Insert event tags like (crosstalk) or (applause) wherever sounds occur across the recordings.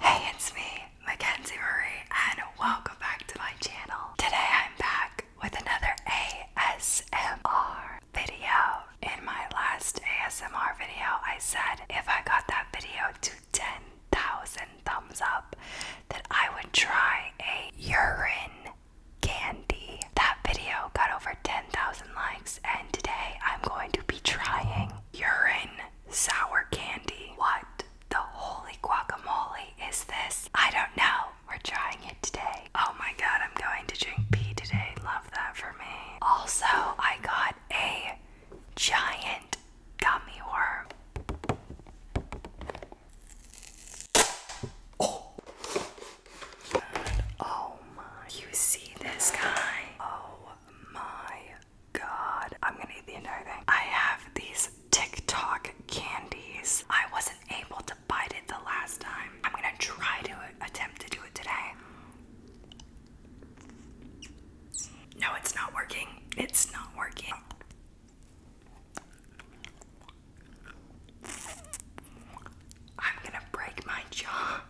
Hey, it's me, Mackenzie Marie, and welcome back to my channel. Today I'm back with another ASMR video. In my last ASMR video, I said if I got that video to 10,000 thumbs up, that I would try a urine candy. That video got over 10,000 likes, and today I'm going to be trying urine sour candy. What the holy guacamole is this? I don't know. We're trying it today. Oh my god, I'm going to drink pee today. Love that for me. Also, I got a giant gummy worm. Oh, my. You see this guy? Oh my god, I'm gonna eat the entire thing. I have these TikTok candies. I wasn't able to bite it the last time. I'm gonna try to attempt to do it today. No, it's not working. It's not working. I'm gonna break my jaw.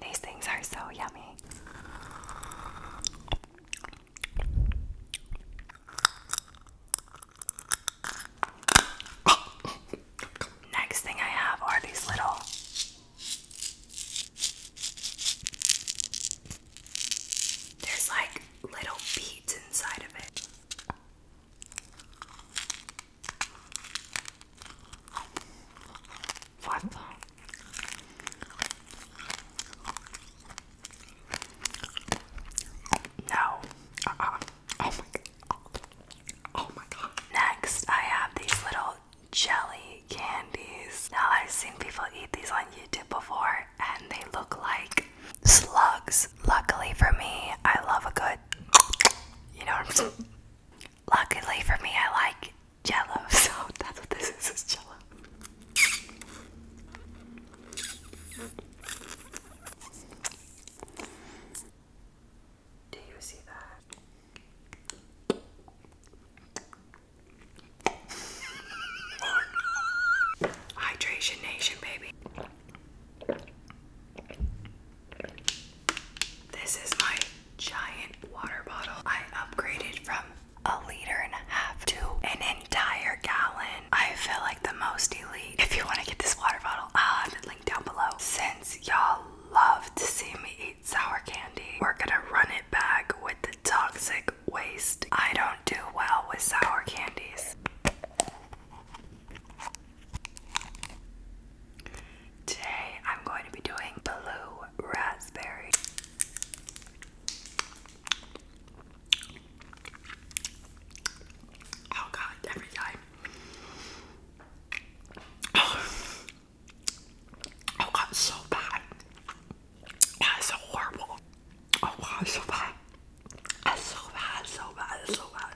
These things are so yummy. (laughs) Next thing I have are these little there's like little beads inside of it. What No. Uh-uh. Oh my god. Oh my god. Next, I have these little jelly candies. Now, I've seen people eat these on YouTube before, and they look like slugs. Luckily for me, I love a good, you know what I'm saying? Luckily for me, I like jello, (laughs) so that's what this is, is jello. Do you see that? Hydration Nation, baby. This is my giant water bottle. I upgraded from a liter and a half to an entire gallon. I feel like the most elite. If you want to get this water bottle, I'll have it linked down below. Since y'all love to see me eat sour candy, we're gonna run it back with the toxic waste. I don't do well with sour candies. Today I'm going to be doing blue raspberry. Oh god, every time. (sighs) Oh, god, so bad. That's so horrible. Oh wow, so bad. That's so bad, so bad, so bad.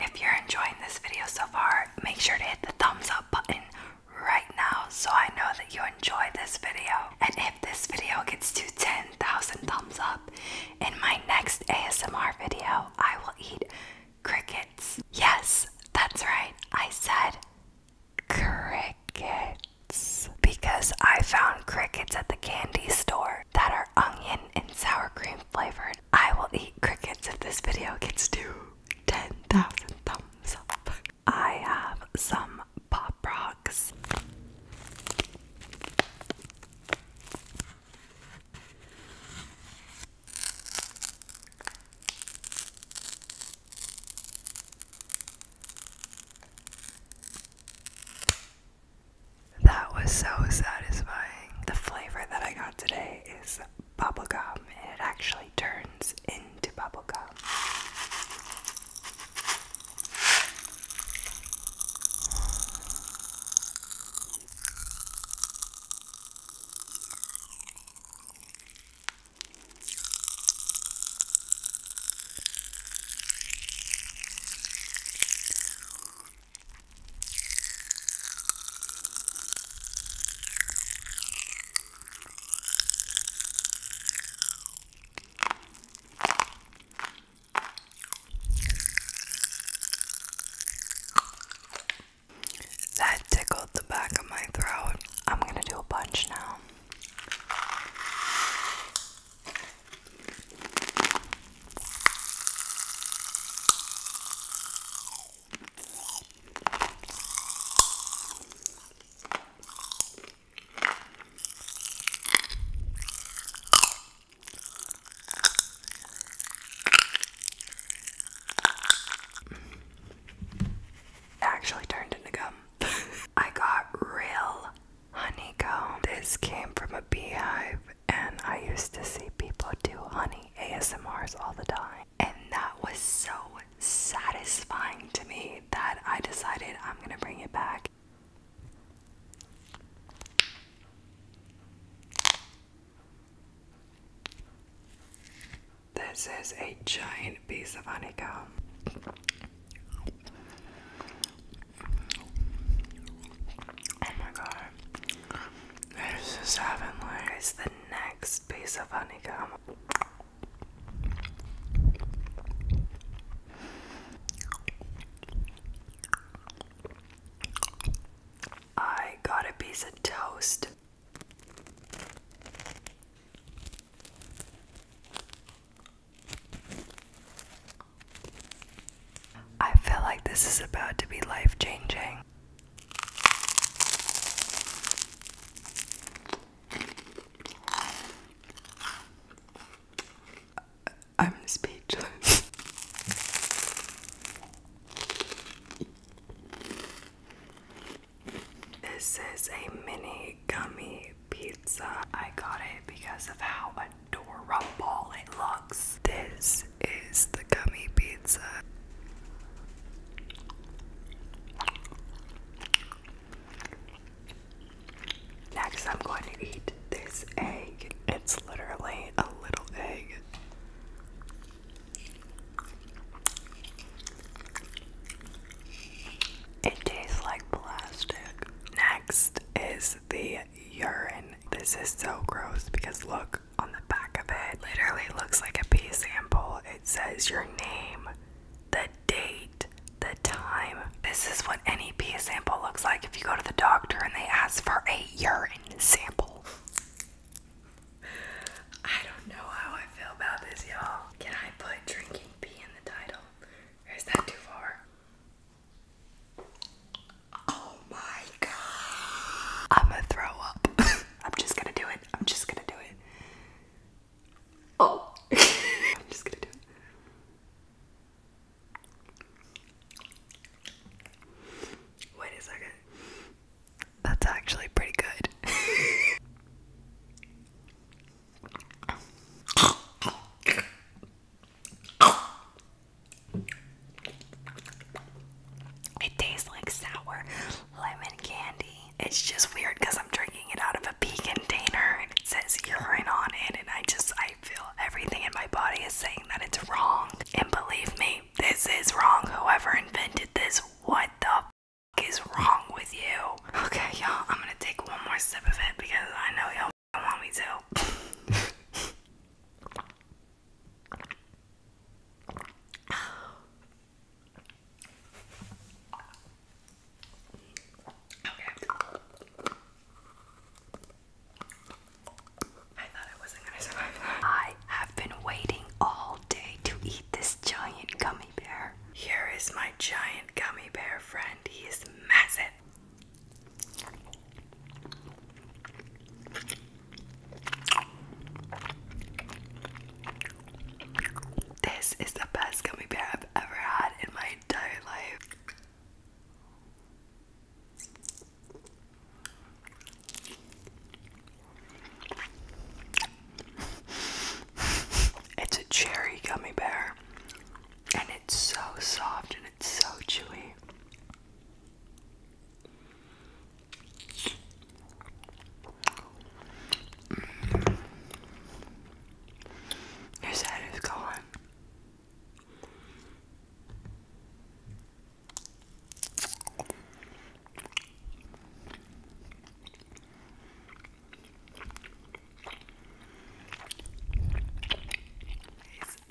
If you're enjoying this video so far, make sure to hit the thumbs up button, right now so I know that you enjoy this video. And if this video gets to 10,000 thumbs up, in my next ASMR video, I will eat crickets. Yes, that's right, I said crickets. Because I found crickets at the candy store that are onion and sour cream flavored. I will eat crickets if this video gets to 10,000 thumbs up. I have some pop rocks. That was so satisfying. The flavor that I got today is Bubble gum, and it actually turns into bubble gum. That tickled the back of my throat. I'm going to do a bunch now actually turned into gum. (laughs) I got real honeycomb. This came from a beehive, and I used to see people do honey ASMRs all the time. And that was so satisfying to me that I decided I'm going to bring it back. This is a giant piece of honeycomb. Oh my god. There's the seven layers. The next piece of honeycomb. I got a piece of toast. I feel like this is about to be life changing. I'm speechless. This is a mini gummy pizza. I got it because of how adorable it looks this is the gummy pizza. Next, I'm going to eat this egg. It's literally a little egg. It tastes like plastic. Next is the urine. This is so gross because look, on the back of it literally looks like a pee sample. It says your name, the date, the time. This is what any pee sample looks like if you go to the doctor and they ask for a urine sample. I don't know how I feel about this, y'all. Can I put drinking pee in the title? is that too far? Oh my god. I'm gonna throw up. (laughs) I'm just gonna do it. I'm just gonna do it. Oh. (laughs) I'm just gonna do it. Wait a second. That's actually pretty good. (laughs) It tastes like sour lemon candy. It's just weird because I'm drinking it out of a pea container and it says urine on it, and I just I feel everything in my body is saying that it's wrong. And believe me, this is wrong. Whoever invented this, what the is wrong with you? Okay, y'all, I'm gonna take one more sip of it because I know y'all do want me to. (laughs) I I have been waiting all day to eat this giant gummy bear. Here is my giant gummy bear friend. He is massive. This is the best gummy bear I've ever had in my entire life. It's a cherry gummy bear, and it's so soft it's so chewy. Mm. head is gone.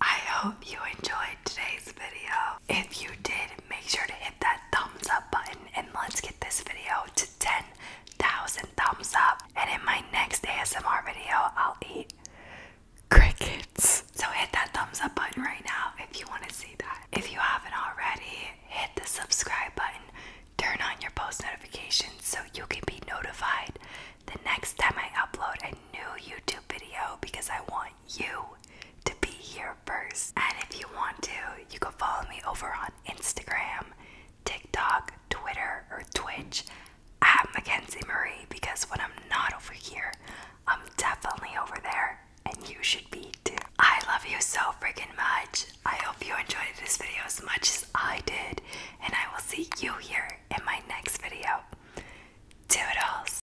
I hope you enjoyed today's video. If you did, make sure to hit that thumbs up button and let's get this video to 10,000 thumbs up. And in my next ASMR video, I'll eat crickets. So hit that thumbs up button right now if you want to see that. If you haven't already, hit the subscribe button, turn on your post notifications so you can be notified the next time I upload a new YouTube video because I want you to be here first. And if you want to, you can follow me over on Instagram, TikTok, Twitter, or Twitch at Mackenzie Marie because when I'm not over here, I'm definitely over there and you should be too. I love you so freaking much. I hope you enjoyed this video as much as I did and I will see you here in my next video. Do it Toodles!